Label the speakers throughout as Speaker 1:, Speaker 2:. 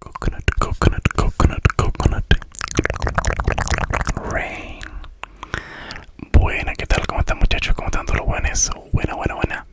Speaker 1: Coconut, coconut, coconut, coconut. Rain. Buena, que tal? como están muchachos? como están todos los buenos? Buena, buena, buena.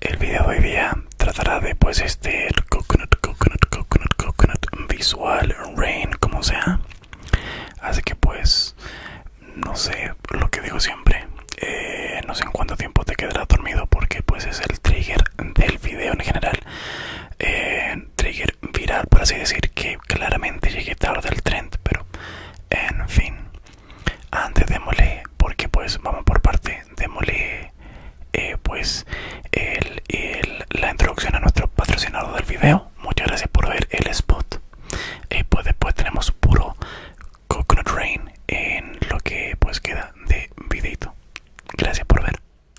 Speaker 1: El video de hoy día tratará de pues este coconut, coconut, coconut, coconut visual, rain, como sea. Así que pues, no sé, lo que digo siempre. Eh, no sé en cuánto tiempo te quedarás dormido porque pues es el trigger del video en general eh, trigger viral por así decir que claramente llegué tarde del trend pero en fin antes demolé porque pues vamos por parte De eh, pues la introducción a nuestro patrocinador del video muchas gracias por ver el spot y eh, pues después tenemos puro coconut rain en lo que pues queda de videito gracias por ver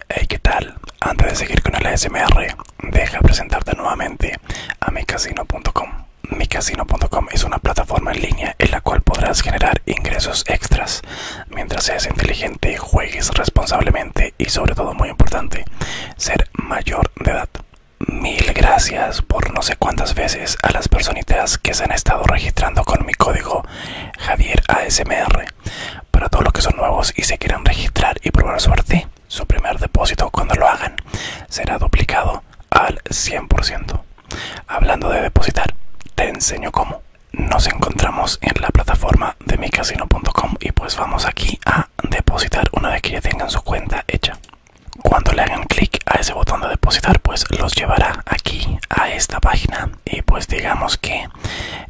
Speaker 1: Hey, ¿qué tal? Antes de seguir con el ASMR, deja presentarte nuevamente a micasino.com. Micasino.com es una plataforma en línea en la cual podrás generar ingresos extras mientras seas inteligente, juegues responsablemente y sobre todo muy importante, ser mayor de edad. Mil gracias por no sé cuántas veces a las personitas que se han estado registrando con mi código Javier ASMR. Para todos los que son nuevos y se quieran registrar y probar suerte, su primer depósito cuando lo hagan será duplicado al 100%. Hablando de depositar, te enseño cómo. Nos encontramos en la plataforma de micasino.com y pues vamos aquí a depositar una vez que ya tengan su cuenta hecha. Cuando le hagan clic a ese botón de depositar, pues los llevará aquí a esta página y pues digamos que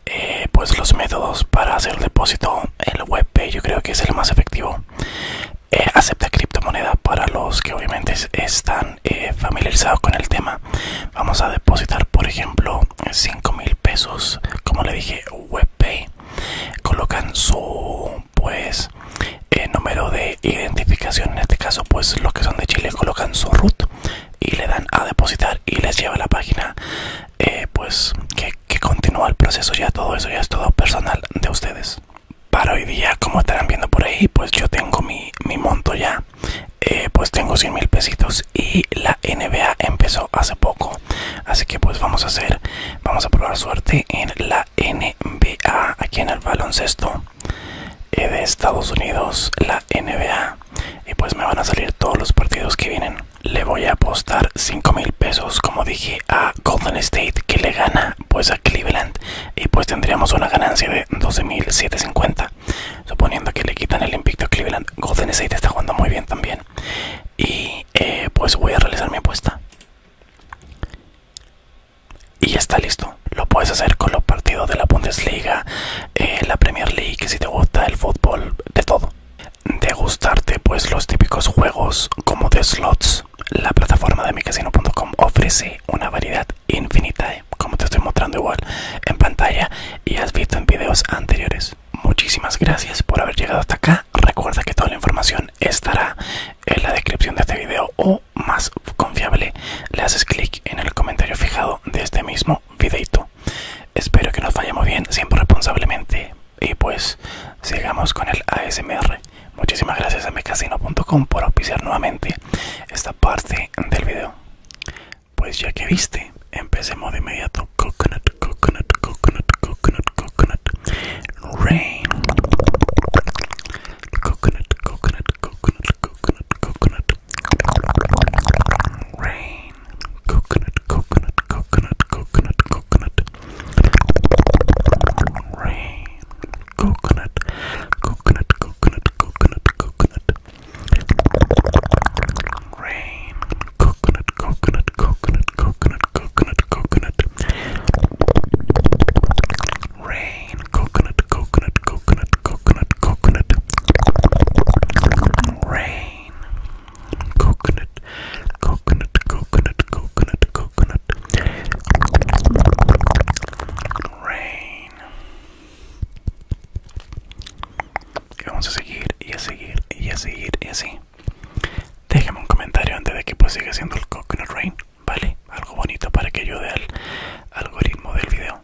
Speaker 1: eh, pues los métodos para hacer depósito el WebPay yo creo que es el más efectivo eh, acepta criptomoneda para los que obviamente están eh, familiarizados con el tema vamos a depositar por ejemplo 5 mil pesos como le dije webpay colocan su pues número de identificación en este caso pues los que son de chile colocan su root y le dan a depositar y les lleva la página eh, pues que, continúa el proceso ya todo eso ya es todo personal de ustedes para hoy día como estarán viendo por ahí pues yo tengo mi, monto ya eh, pues tengo 100 mil pesitos y la NBA empezó hace poco así que pues vamos a hacer vamos a probar suerte en la NBA aquí en el baloncesto eh, de Estados Unidos, la NBA. Y pues me van a salir todos los partidos que vienen. Le voy a apostar 5 mil pesos, como dije, a Golden State, que le gana pues a Cleveland. Y pues tendríamos una ganancia de mil 750 Suponiendo que le quitan el impicto a Cleveland. Golden State está jugando muy bien también. Y eh, pues voy a realizar mi apuesta. Y ya está listo. Lo puedes hacer con los partidos de la Bundesliga, eh, la Premier League, si te gusta el fútbol, de todo. De gustarte, pues los típicos juegos como de slots, la plataforma de micasino.com ofrece una variedad infinita, eh, como te estoy mostrando igual en pantalla y has visto en videos anteriores. Muchísimas gracias por haber llegado hasta acá. Recuerda que toda la información estará en la descripción de este video o más confiable le haces clic en el comentario fijado de este mismo Espero que nos vayamos bien, siempre responsablemente. Y pues sigamos con el ASMR. Muchísimas gracias a mecasino.com por auspiciar nuevamente esta parte del video. Pues ya que viste, empecemos de inmediato. Coconut, coconut, coconut, coconut, coconut. Rain. Coconut, coconut, coconut, coconut, coconut, Rain. Coconut, coconut, coconut, coconut, coconut. Rain. Coconut, coconut, coconut, coconut, coconut. Rain. Coconut, coconut, coconut, coconut, coconut, coconut. Rain. Coconut, coconut, coconut. coconut, coconut, coconut. Rain. Coconut, coconut, coconut, coconut, coconut. Rain. vamos a seguir y a seguir y a seguir y así. Déjame un comentario antes de que pues siga siendo el coconut rain, ¿vale? Algo bonito para que ayude al algoritmo del video.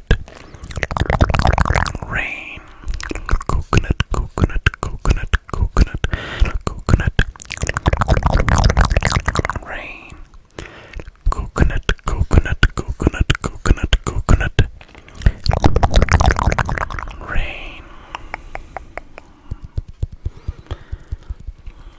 Speaker 1: coconut rain coconut coconut coconut coconut coconut rain coconut coconut coconut coconut coconut rain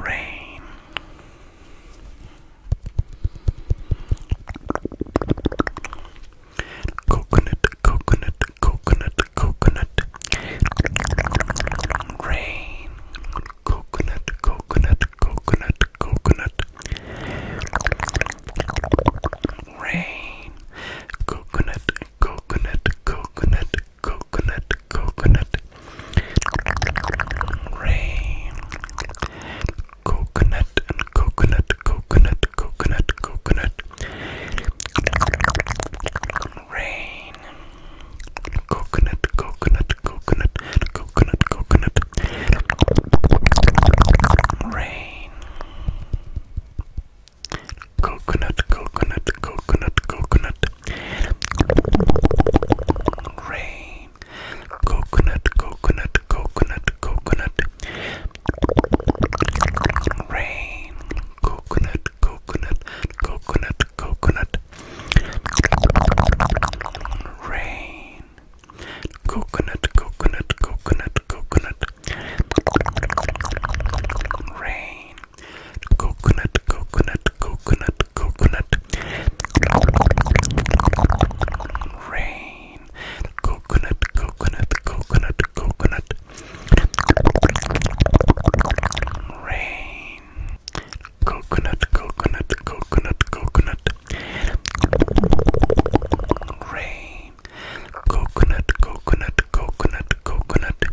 Speaker 1: Rain. Coconut, coconut, coconut, coconut. Rain. Coconut, coconut, coconut, coconut. Rain. Coconut, coconut, coconut, coconut, coconut, rain, coconut, coconut, coconut, coconut, coconut, rain, coconut, coconut, coconut, coconut, coconut, rain. Coconut, coconut, coconut, coconut, Rain. Coconut, coconut, coconut, coconut. Rain. Coconut, coconut, coconut, coconut. Rain. Coconut, coconut, coconut, coconut. Rain. Coconut, coconut, coconut, coconut. Rain. Coconut, coconut, coconut, coconut. Rain. Coconut, coconut, coconut, coconut. Rain. Coconut, coconut, coconut, coconut.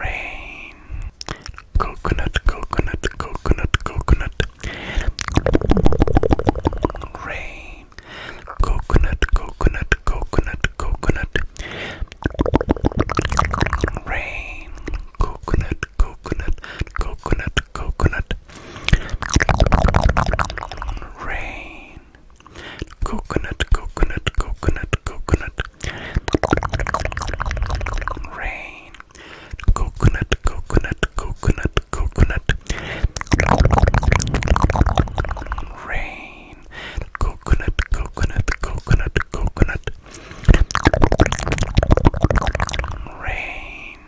Speaker 1: Rain. Coconut, coconut, coconut, coconut. Rain. Coconut, coconut, coconut, coconut. Rain. Coconut, coconut, coconut, coconut. Rain. Coconut, coconut, coconut, coconut. Rain. Coconut, coconut, coconut, coconut. Rain. Coconut, coconut, coconut, coconut. Rain.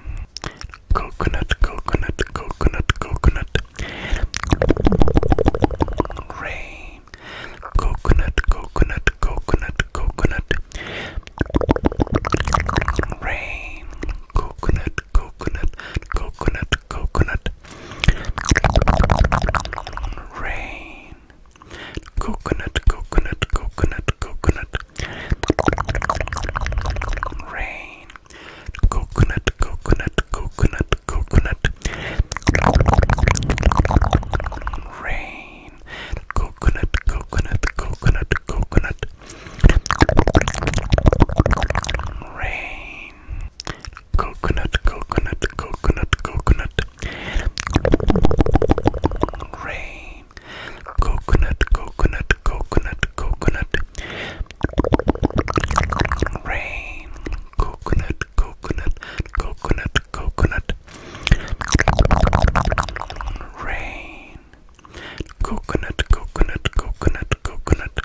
Speaker 1: Coconut, coconut, coconut, coconut. Rain. Coconut, coconut, coconut, coconut. Rain. Coconut, coconut, coconut, coconut. Rain. Coconut, coconut, coconut, coconut. Rain coconut, coconut, coconut, coconut, rain, coconut, coconut, coconut, coconut, rain, coconut, coconut, coconut, coconut, rain, coconut, coconut, coconut, coconut. Rain, coconut, coconut, coconut, coconut. Rain, coconut, coconut, coconut, coconut.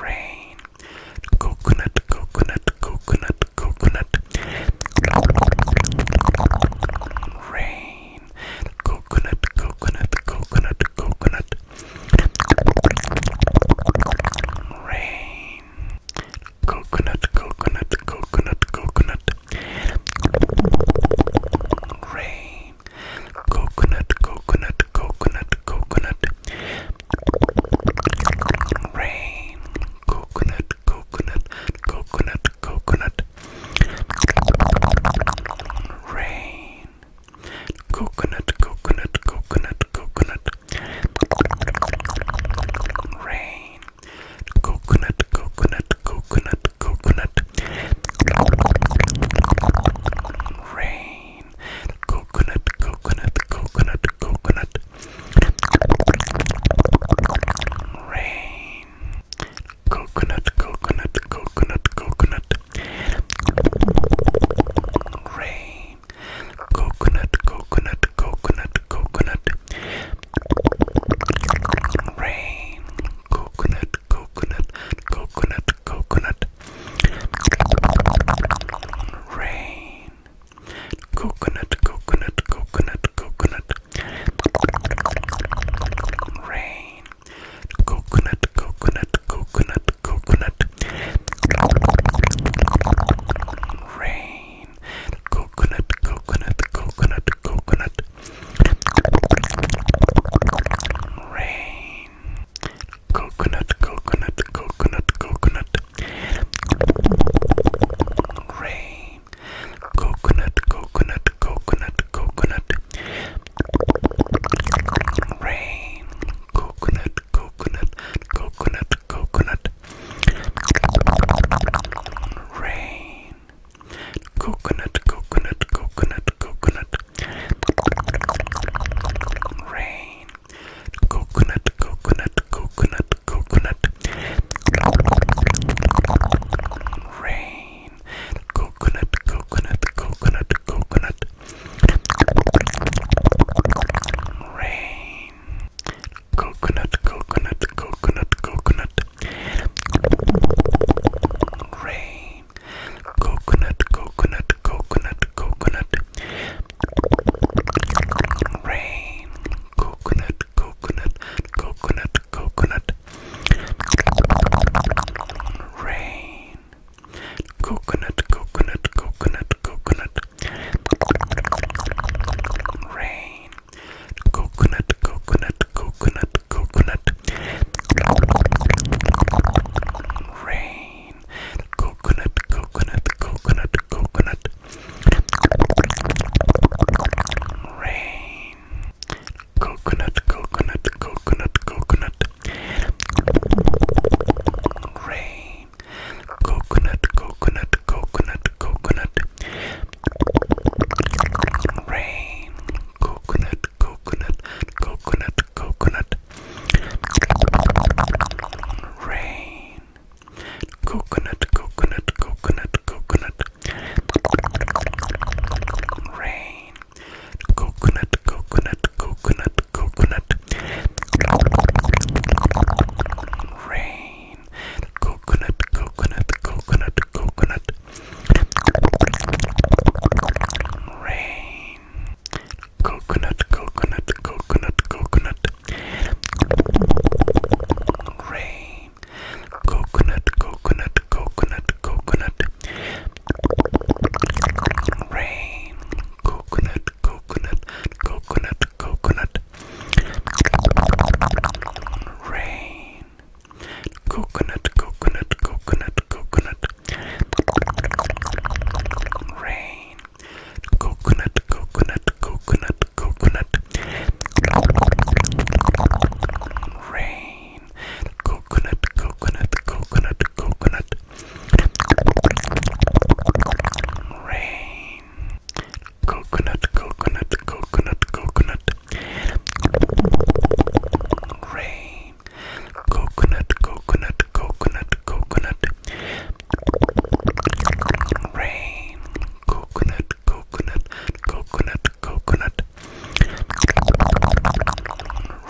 Speaker 1: Rain, coconut, coconut, coconut, coconut. Rain, coconut, coconut, coconut, coconut, rain, coconut, coconut, coconut, coconut, rain, coconut, coconut, coconut, coconut, rain, coconut, coconut, coconut, coconut, rain. Coconut, coconut, coconut, coconut. Rain. Coconut, coconut, coconut, coconut. Rain. Coconut, coconut, coconut, coconut. Rain coconut, coconut, coconut, coconut. Rain, coconut, coconut, coconut, coconut. Rain, coconut, coconut, coconut, coconut. Rain, coconut, coconut, coconut, coconut. Rain, coconut, coconut, coconut, coconut, rain, coconut, coconut, coconut, coconut, rain, coconut, coconut, coconut, coconut, rain, coconut, coconut, coconut, coconut. Rain, coconut, coconut, coconut, coconut. Rain, coconut, coconut, coconut, coconut. Rain, coconut, coconut, coconut, coconut. Rain, coconut, coconut, coconut, coconut, rain, coconut, coconut, coconut, coconut, rain, coconut, coconut, coconut, coconut, rain, coconut, coconut, coconut, coconut, rain. Coconut, coconut, coconut, coconut. Rain. Coconut, coconut, coconut, coconut. Rain. Coconut, coconut, coconut, coconut. Rain. Coconut, coconut, coconut, coconut. Rain. Coconut, coconut, coconut, coconut. Rain. Coconut, coconut, coconut, coconut. Rain. Coconut, coconut, coconut, coconut. Rain coconut, coconut, coconut, coconut, rain, coconut, coconut, coconut, coconut, rain, coconut, coconut, coconut, coconut, rain, coconut, coconut, coconut, coconut. Rain, coconut, coconut, coconut, coconut. Rain, coconut, coconut, coconut, coconut. Rain, coconut, coconut, coconut, coconut. Rain. Coconut, coconut, coconut, coconut. Rain. Coconut, coconut, coconut, coconut. Rain. Coconut, coconut, coconut, coconut. Rain. Coconut, coconut, coconut, coconut.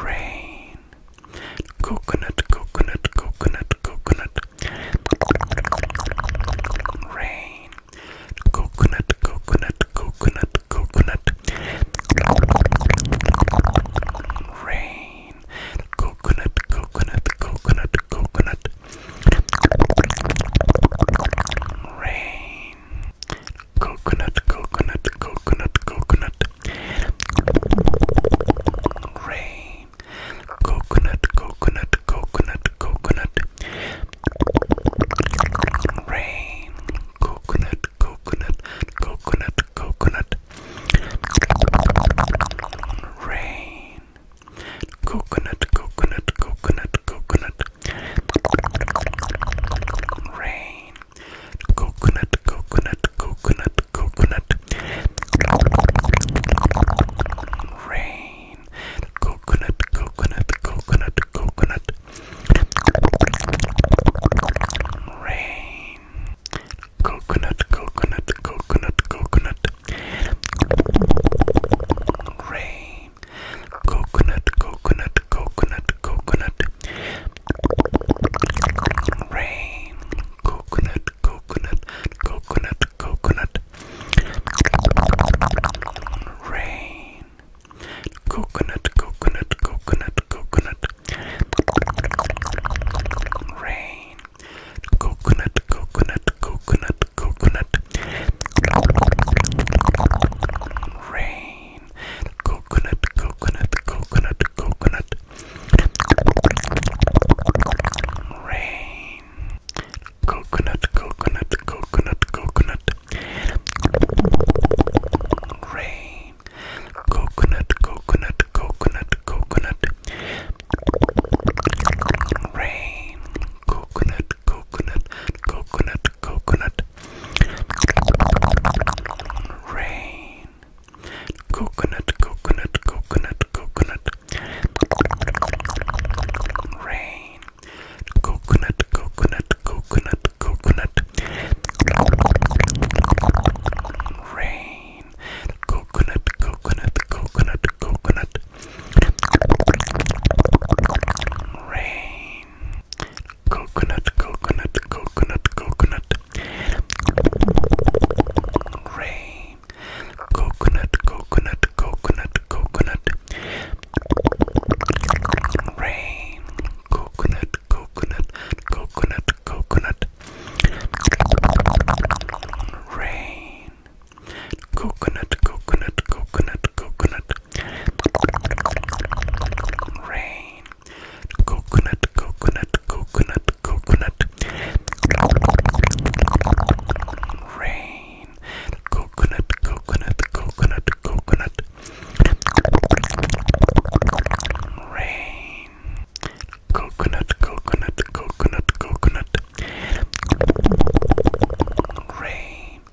Speaker 1: Rain. Coconut, coconut, coconut, coconut. Rain. Coconut, coconut, coconut, coconut. Rain. Coconut, coconut, coconut, coconut. Rain coconut, coconut, coconut, coconut. Rain, coconut, coconut, coconut, coconut. Rain, coconut, coconut, coconut, coconut. Rain, coconut, coconut, coconut, coconut. Rain, Coconut, coconut, coconut, coconut. Rain. Coconut, coconut, coconut, coconut. Rain. Coconut, coconut, coconut, coconut. Rain. Coconut, coconut, coconut, coconut. Rain, coconut, coconut, coconut, coconut. Rain, coconut, coconut, coconut, coconut. Rain, coconut, coconut, coconut, coconut. Rain. Coconut, coconut, coconut, coconut. Rain. Coconut, coconut, coconut, coconut. Rain. Coconut, coconut, coconut, coconut. Rain. Coconut, coconut, coconut, coconut, rain, coconut, coconut, coconut, coconut, rain, coconut, coconut, coconut, coconut, rain, coconut, coconut, coconut, coconut. Rain, coconut, coconut, coconut, coconut. Rain, coconut, coconut, coconut, coconut. Rain, coconut, coconut, coconut, coconut. Rain, coconut, coconut, coconut, coconut. Rain coconut, coconut, coconut, coconut, rain, coconut, coconut, coconut, coconut, rain, coconut, coconut, coconut, coconut, rain.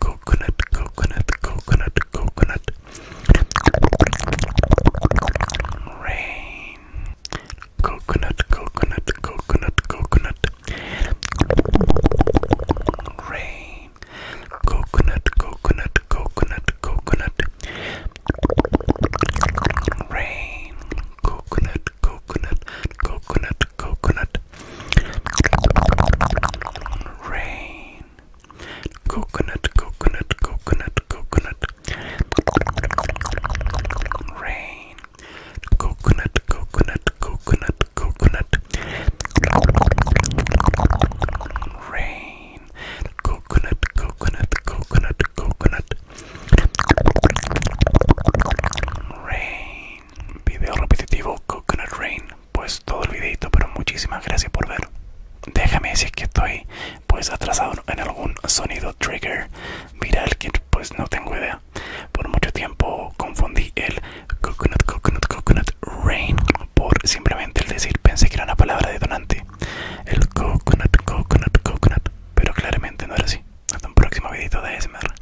Speaker 1: Coconut, coconut, coconut, coconut. Rain. Coconut, coconut, coconut, coconut. Rain. Coconut, coconut, coconut, coconut. Rain. Coconut, coconut, coconut, coconut, rain, coconut, coconut, coconut, coconut, rain, coconut, coconut, coconut, coconut, rain, coconut, coconut, coconut, coconut, rain. video repetitivo Coconut Rain pues todo el videito pero muchísimas gracias por ver déjame decir que estoy pues atrasado en algún sonido trigger viral que pues no tengo idea por mucho tiempo confundí el coconut coconut coconut rain por simplemente el decir pensé que era una palabra detonante el coconut coconut coconut pero claramente no era así hasta un próximo videito de ASMR